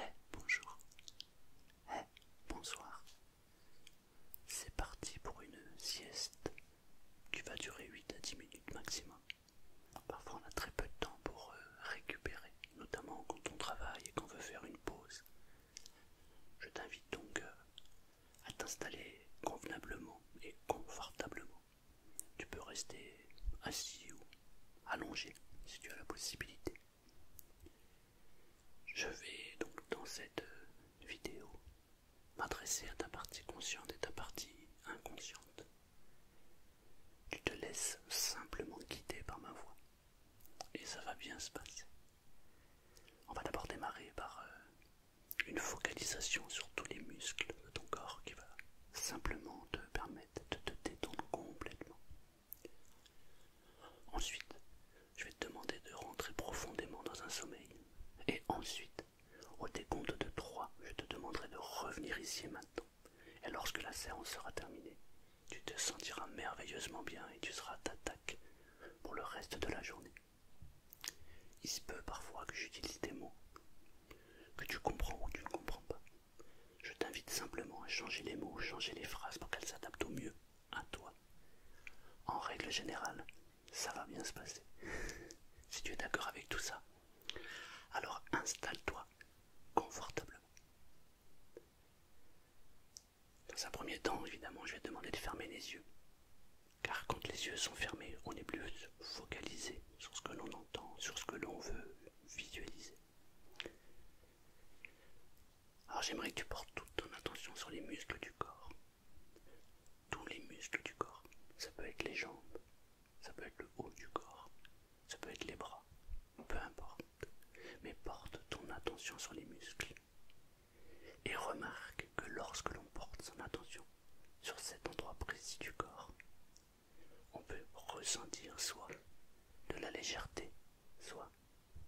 Eh bonjour. Eh bonsoir. C'est parti pour une sieste qui va durer 8 à 10 minutes maximum. Parfois on a très peu de temps pour euh, récupérer, notamment quand on travaille et qu'on veut faire une pause. Je t'invite donc euh, à t'installer convenablement et confortablement. Tu peux rester assis ou allongé si tu as la possibilité. Je vais donc dans cette euh, vidéo m'adresser à ta partie consciente et ta partie inconsciente. Tu te laisses simplement guider par ma voix et ça va bien se passer. On va d'abord démarrer par euh, une focalisation sur tous les muscles de ton corps qui va simplement te permettre de te détendre complètement. Ensuite, je vais te demander de rentrer profondément dans un sommeil. Et ensuite, au décompte de 3, je te demanderai de revenir ici maintenant. Et lorsque la séance sera terminée, tu te sentiras merveilleusement bien et tu seras à d'attaque pour le reste de la journée. Il se peut parfois que j'utilise des mots que tu comprends ou tu ne comprends pas. Je t'invite simplement à changer les mots, changer les phrases pour qu'elles s'adaptent au mieux à toi. En règle générale, ça va bien se passer. si tu es d'accord avec tout ça, alors installe-toi confortablement. Dans un premier temps, évidemment, je vais te demander de fermer les yeux. Car quand les yeux sont fermés, on est plus focalisé sur ce que l'on entend, sur ce que l'on veut, visualiser. Alors j'aimerais que tu portes toute ton attention sur les muscles du corps. Tous les muscles du corps. Ça peut être les jambes, ça peut être le haut du corps, ça peut être les bras, peu importe. Mais porte ton attention sur les muscles. Et remarque que lorsque l'on porte son attention sur cet endroit précis du corps, on peut ressentir soit de la légèreté, soit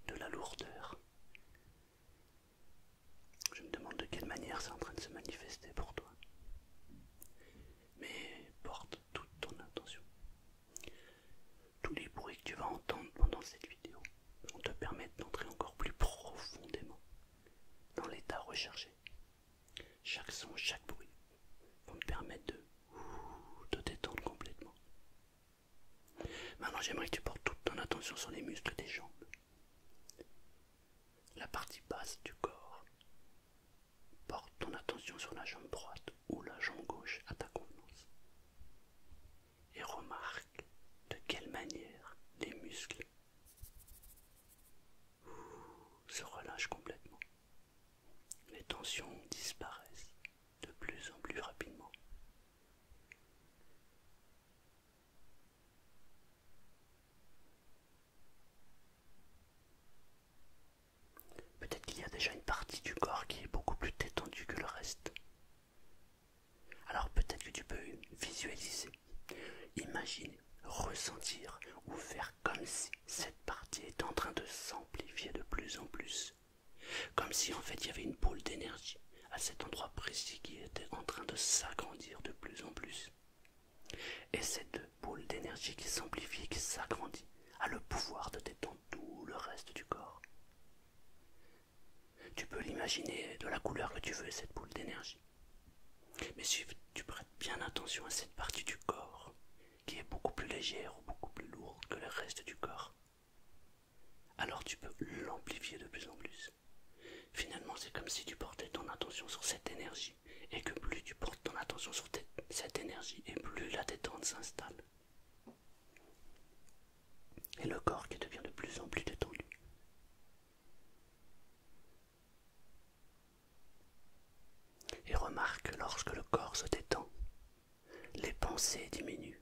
de la lourdeur. Je me demande de quelle manière c'est en train de se manifester pour toi. Mais porte toute ton attention. Tous les bruits que tu vas entendre pendant cette vidéo vont te permettre d'entrer encore plus profondément dans l'état recherché chaque son, chaque bruit vont me permettre de te détendre complètement. Maintenant, j'aimerais que tu portes toute ton attention sur les muscles des jambes. La partie basse du corps. Porte ton attention sur la jambe droite ou la jambe gauche à ta convenance. Et remarque de quelle manière les muscles se relâche complètement. Les tensions disparaissent de plus en plus rapidement. Peut-être qu'il y a déjà une partie du corps qui est beaucoup plus détendue que le reste. Alors peut-être que tu peux visualiser Imagine ressentir ou faire comme si cette partie était en train de s'amplifier de plus en plus. Comme si en fait il y avait une boule d'énergie à cet endroit précis qui était en train de s'agrandir de plus en plus. Et cette boule d'énergie qui s'amplifie, qui s'agrandit, a le pouvoir de détendre tout le reste du corps. Tu peux l'imaginer de la couleur que tu veux, cette boule d'énergie. Mais si tu prêtes bien attention à cette partie du corps, qui est beaucoup plus légère ou beaucoup plus lourde que le reste du corps, alors tu peux l'amplifier de plus en plus. Finalement, c'est comme si tu portais ton attention sur cette énergie, et que plus tu portes ton attention sur cette énergie, et plus la détente s'installe. Et le corps qui devient de plus en plus détendu. Et remarque que lorsque le corps se détend, les pensées diminuent.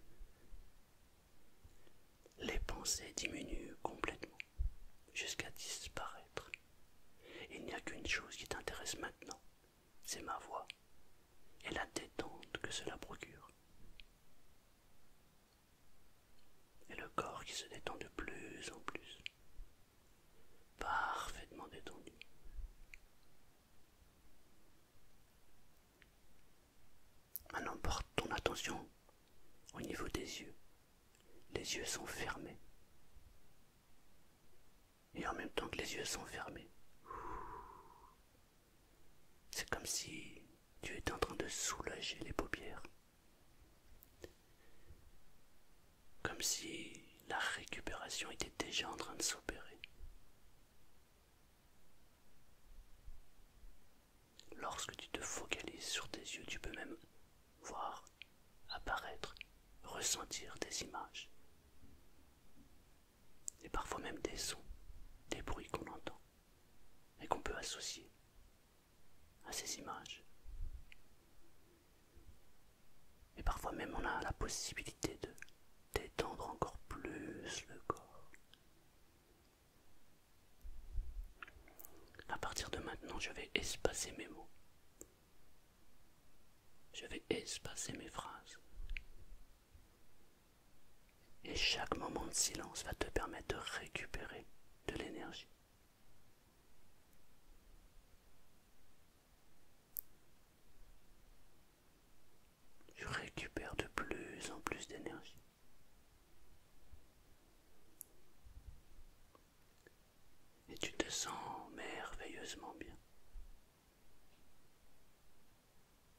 Les pensées diminuent complètement, jusqu'à disparaître. Il n'y a qu'une chose qui t'intéresse maintenant, c'est ma voix et la détente que cela procure. Et le corps qui se détend de plus en plus, parfaitement détendu. Maintenant porte ton attention au niveau des yeux. Les yeux sont fermés. Et en même temps que les yeux sont fermés, c'est comme si tu étais en train de soulager les paupières. Comme si la récupération était déjà en train de s'opérer. Lorsque tu te focalises sur tes yeux, tu peux même voir apparaître, ressentir des images et parfois même des sons, des bruits qu'on entend et qu'on peut associer à ces images. Et parfois même on a la possibilité de détendre encore plus le corps. À partir de maintenant, je vais espacer mes mots. Je vais espacer mes phrases. Et chaque moment de silence va te permettre de récupérer de l'énergie je récupère de plus en plus d'énergie. Et tu te sens merveilleusement bien.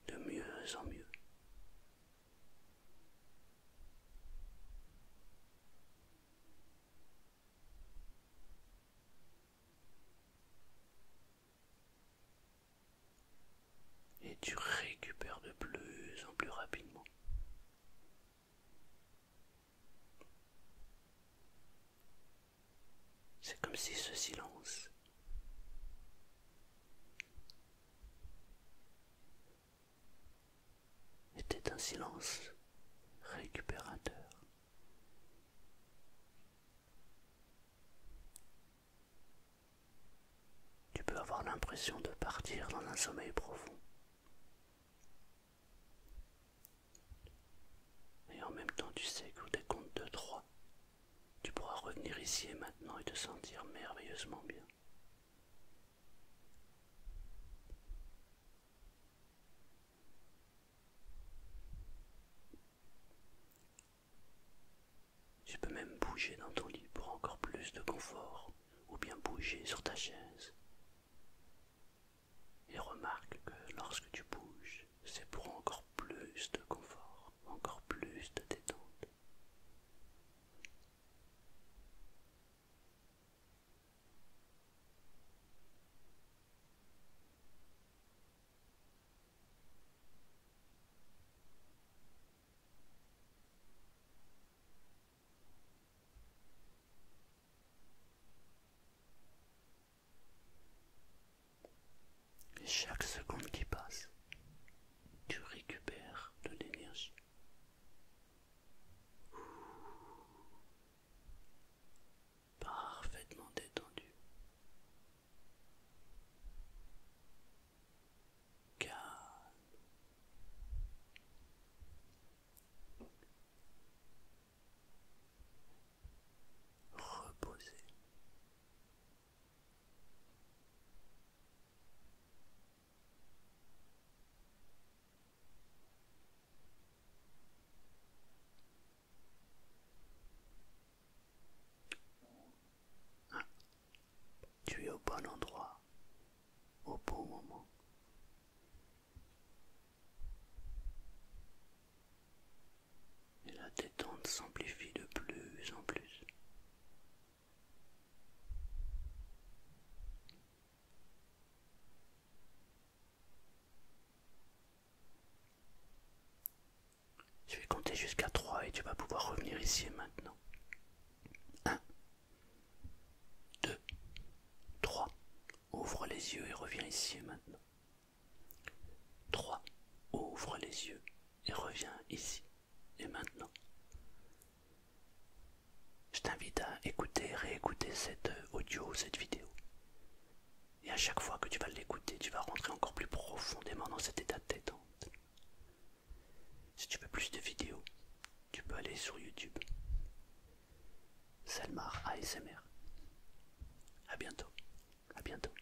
De mieux en mieux. Et tu récupères de plus en plus rapidement. C'est comme si ce silence était un silence récupérateur. Tu peux avoir l'impression de partir dans un sommeil profond. Et en même temps, tu sais qu'au décompte de trois, tu pourras revenir ici et maintenant et te sentir merveilleusement bien. Tu peux même bouger dans ton lit pour encore plus de confort ou bien bouger sur ta chaise. Et remarque que lorsque tu bouges, c'est pour encore plus de confort, encore plus de détente chaque seconde qui passe, tu récupères de l'énergie Parfaitement détendu. Calme. Reposé tu es au bon endroit, au bon moment. Et la détente s'amplifie de plus en plus. Je vais compter jusqu'à 3 et tu vas pouvoir revenir ici et maintenant. 1, 2, 3. Ouvre les yeux et reviens ici et maintenant. 3. Ouvre les yeux et reviens ici et maintenant. Je t'invite à écouter, réécouter cette euh, audio cette vidéo. Et à chaque fois que tu vas l'écouter, tu vas rentrer encore plus profondément dans cet état de détente. Si tu veux plus de vidéos, tu peux aller sur YouTube. Salmar ASMR. À bientôt. À bientôt.